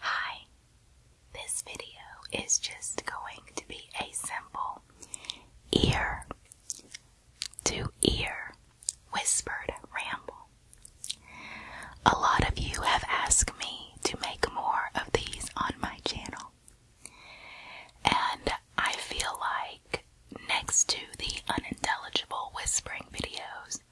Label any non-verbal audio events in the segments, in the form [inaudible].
Hi, this video is just going to be a simple ear to ear whispered ramble. A lot of you have asked me to make more of these on my channel, and I feel like next to the unintelligible whispering videos,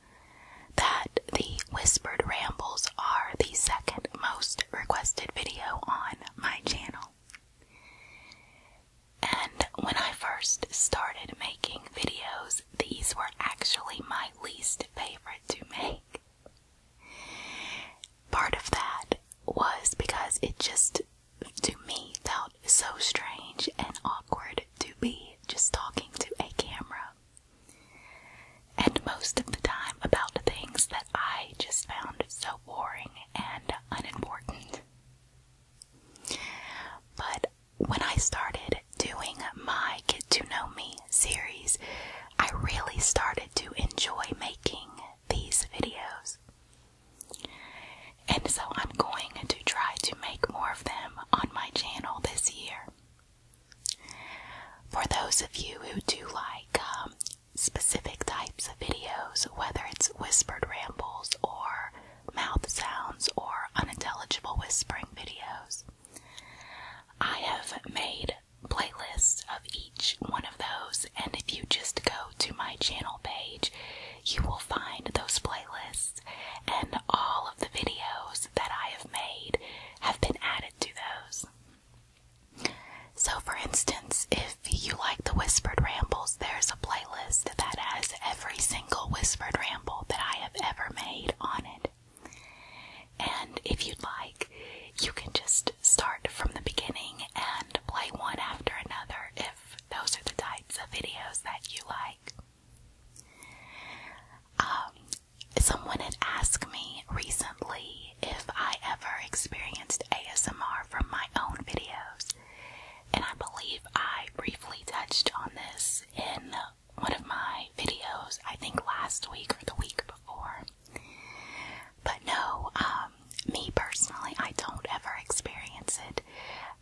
that the Whispered Rambles are the second most requested video on my channel. And when I first started making videos, these were actually my least favorite to make. Part of that was because it just, to me, felt so strange and awkward to be just talking to a camera and most of the time about things that I just found so boring and unimportant. But when I started doing my Get to Know Me series, I really started to enjoy making these videos. And so I'm going to try to make more of them on my channel this year. For those of you who do like um, specific types of videos, whether it's whispered rambles or mouth sounds or unintelligible whispering videos, I have made playlists of each one of those, and if you just go to my channel page, you will find those playlists and all of the videos that I have made have been added to those. So, for instance, if you like the Whispered Rambles, there's a playlist that has every single Whispered Ramble that I have ever made on it. And if you'd like, you can just start from the beginning and play one after another if those are the types of videos that you like. Um, someone had asked me recently if I ever experienced ASMR from my own videos, and I believe I briefly touched on this in one of my videos, I think last week or the week before. But no, um, me personally, I don't ever experience it.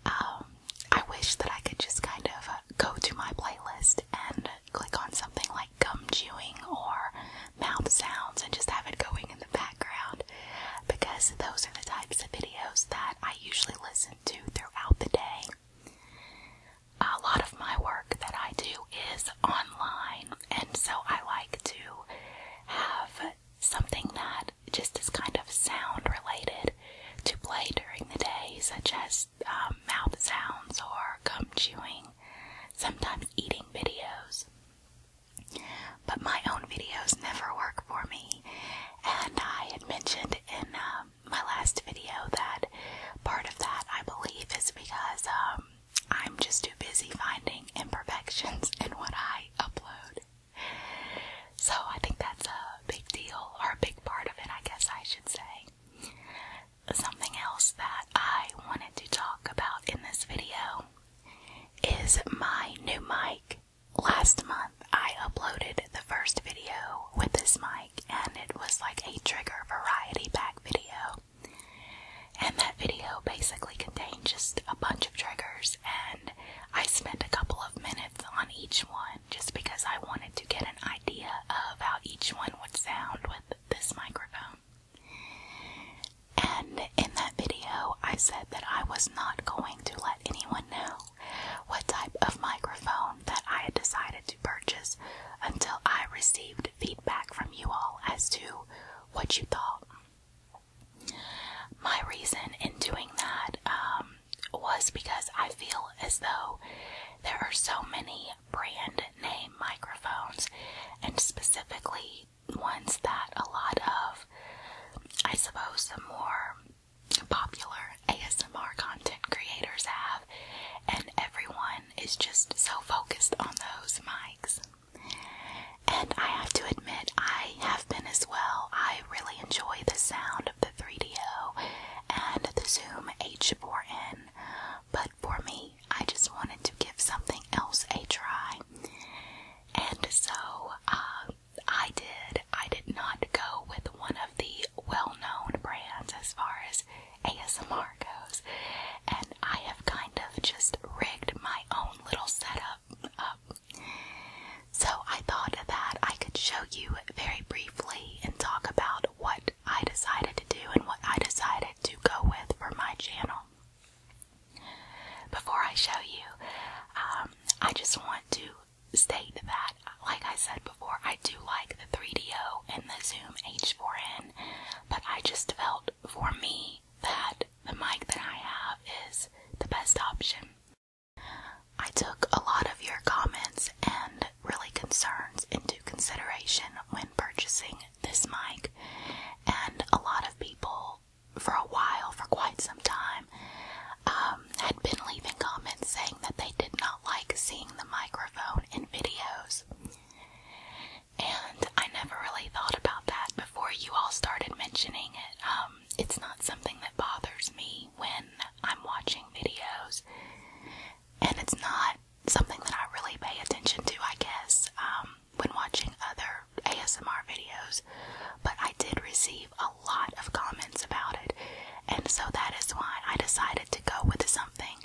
Um, I wish that I could just kind of uh, go to my playlist and click on something like gum chewing or mouth sounds and just have it going in the background because those are the types of videos that I usually listen to throughout the day. A lot of my work that I do is online, and so I like to have something that just as kind of sound related to play during the day, such as um, mouth sounds or gum chewing, sometimes eating videos. But my own videos never work for me, and I had mentioned in um, my last video that part of that I believe is because um, I'm just too busy finding imperfections in what I upload so I think that's a big deal, or a big part of it, I guess I should say. Something else that I wanted to talk about in this video is my new mic. Last month, I uploaded the first video with this mic, and it was like a trigger variety pack video. And that video basically contained just a bunch of triggers, and I spent a couple of minutes on each one just because I wanted to get an idea of how each one would sound with this microphone. And in that video, I said that I was not going to let anyone know what type of microphone that I had decided to purchase until I received feedback from you all as to what you thought. My reason in doing that um, was because I feel as though there are so many brand name microphones, and specifically ones that a lot of, I suppose, the more popular ASMR content creators have, and everyone is just so focused on those mics. And I have to admit, I have been as well. I really enjoy the sound of the 3DO and the Zoom H4n, but for me, I just wanted to give something else a try. And so uh, I did. I did not go with one of the well known brands as far as ASMR goes, and I have kind of just rigged my own little setup up so I thought that I could show you very briefly and talk about what I decided to do and what I decided to go with for my channel. Before I show you, um, I just want to state that, like I said before, I do like the 3DO and the Zoom H4n, but I just felt for me that the mic that I have is the best option. I took a lot of your comments and really concerns into consideration when purchasing this mic, and a lot of people for a while, for quite some time, um, had been leaving comments saying that they did not like seeing the microphone in videos. And I never really thought about that before you all started mentioning it. Um, it's not something that bothers me when I'm watching videos, and it's not something that I really pay attention to, I guess, um, when watching other ASMR videos. But I did receive a lot of comments about it, and so that is why I decided to go with something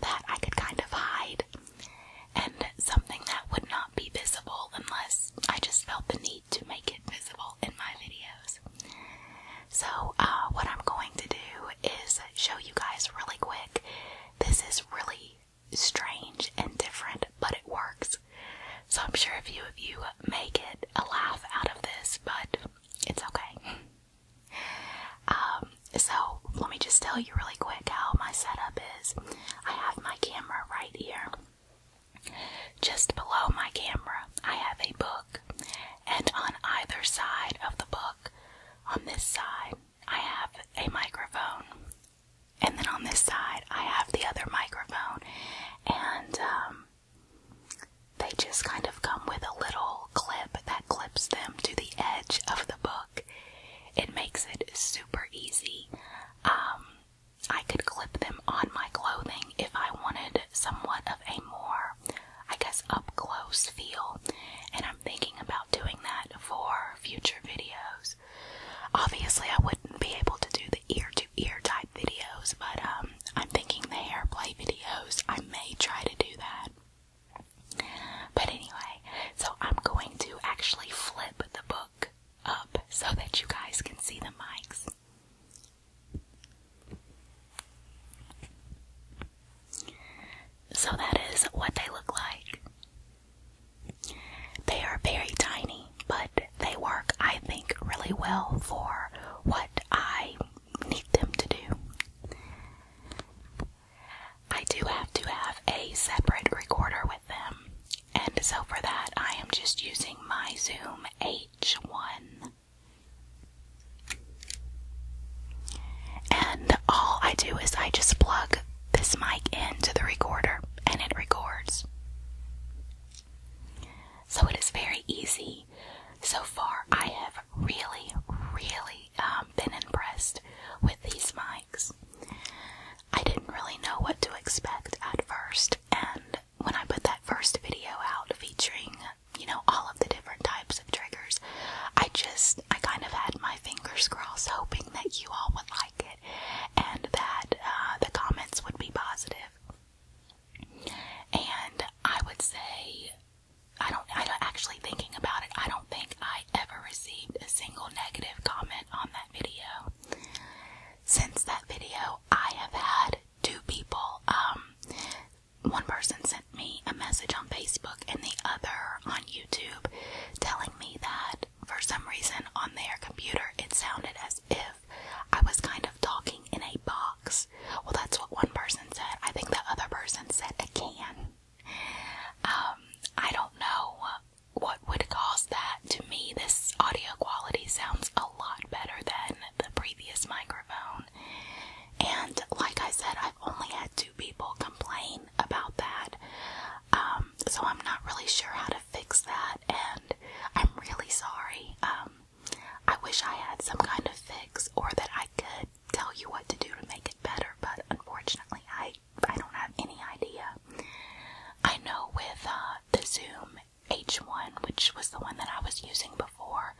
that I could kind of hide and something that would not be visible unless I just felt the need to make it visible in my videos. So, uh, what I'm going to do is show you guys really quick. This is really strange and different, but it works. So, I'm sure a few of you make it a laugh out of this, but it's okay. [laughs] Um, so, let me just tell you really quick how my setup is. I have my camera right here. Just below my camera, I have a book, and on either side of the book, on this side, I have a microphone, and then on this side, I have the other microphone, and um, they just kind of come with a little clip that clips them to the edge of the book. It makes it super easy. Um, I could clip them on my clothing if I wanted somewhat of a more, I guess, up close feel, and I'm thinking about doing that for future videos. Obviously, I wouldn't be able to do the ear to ear type videos, but um, I'm thinking the hair play videos, I may try to do that. But anyway, so I'm going to actually flip the book up so that you guys can see the mics. So that is what they look like. They are very tiny, but they work, I think, really well for what I need them to do. I do have to have a separate recorder with them, and so for that, I am just using my Zoom H1. And all I do is I just plug this mic into the recorder and it records. So it is very easy. So far, I have really, really um, been impressed with these mics. I didn't really know what to expect at first, and when I put that first video out featuring, you know, all of the different types of triggers, I just, I kind of had my fingers crossed hoping that you all would like it and that uh, the comments would be positive. And I would say I don't, I do actually thinking about it. I don't think I ever received a single negative comment on that video. Since that video, I have had two people. Um, one person sent me a message on Facebook and the other on YouTube telling me that for some reason on their computer it sounded as if I was kind of talking in a box. Well, that's what one person said. I think the other person said a can. Um, I don't know what would cause that. To me, this audio quality sounds a lot better than the previous microphone. And like I said, I've only had two people complain about that. Um, so I'm not really sure how to fix that, and I'm really sorry. Um, I wish I had some kind of fix or that I could tell you what to do to make it better, but unfortunately, I I don't have any idea. I know with uh, the Zoom H1, which was the one that I was using before,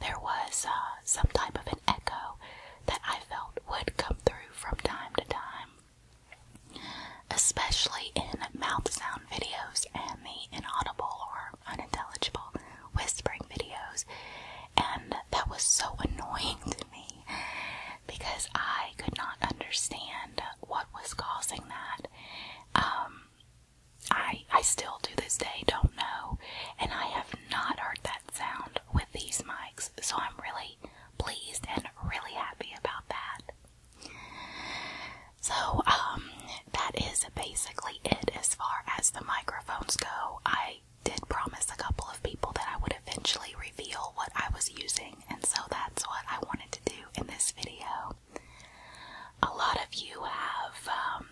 there was uh, some type of an echo that I felt would come through from time to time, especially in mouth sound videos and the inaudible or unintelligible whispering videos and that was so annoying to me because I could not understand what was causing that. Um, I I still to this day don't know, and I have not heard that sound with these mics, so I'm really pleased and really happy about that. So, um, that is basically it as far as the microphones go. I did promise a couple of people that I would eventually reveal what I was using, and so that's what I wanted to do in this video. A lot of you have um,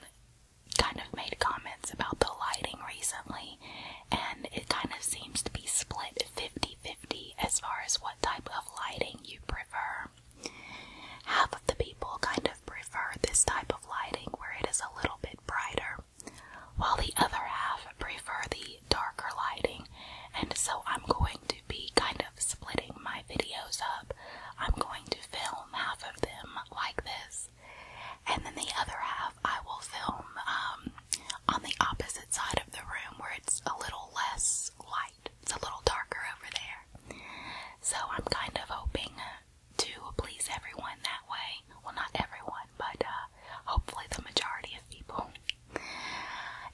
kind of made comments about the lighting recently, and it kind of seems to be split 50 50 as far as what type of lighting you prefer. Half of the people kind of prefer this type of lighting where it is a little bit brighter, while the other half prefer the darker lighting. And so I'm going to be kind of splitting my videos up. I'm going to film half of them like this, and then the other half I will film um, on the opposite side of the room where it's a little less light. It's a little darker over there. So I'm kind of hoping to please everyone that way. Well, not everyone, but uh, hopefully the majority of people.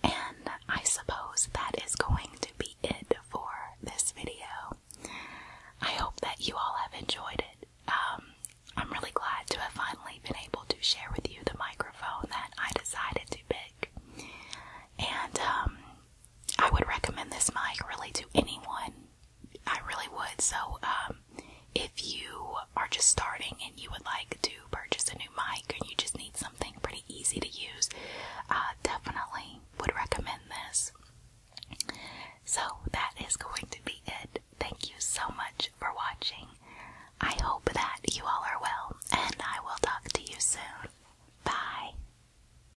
And I suppose that is going to be it for this video. I hope that you all have enjoyed it. Um, I'm really glad to have finally been able to share with you the microphone that I decided to pick. And um, I would recommend this mic really to anyone. I really would. So, um, if you are just starting and you would like to purchase a new mic and you just need something pretty easy to use, uh, definitely would recommend this. So, that is going to be it. Thank you so much for watching. I hope that you all are well, and I will talk to you soon. Bye.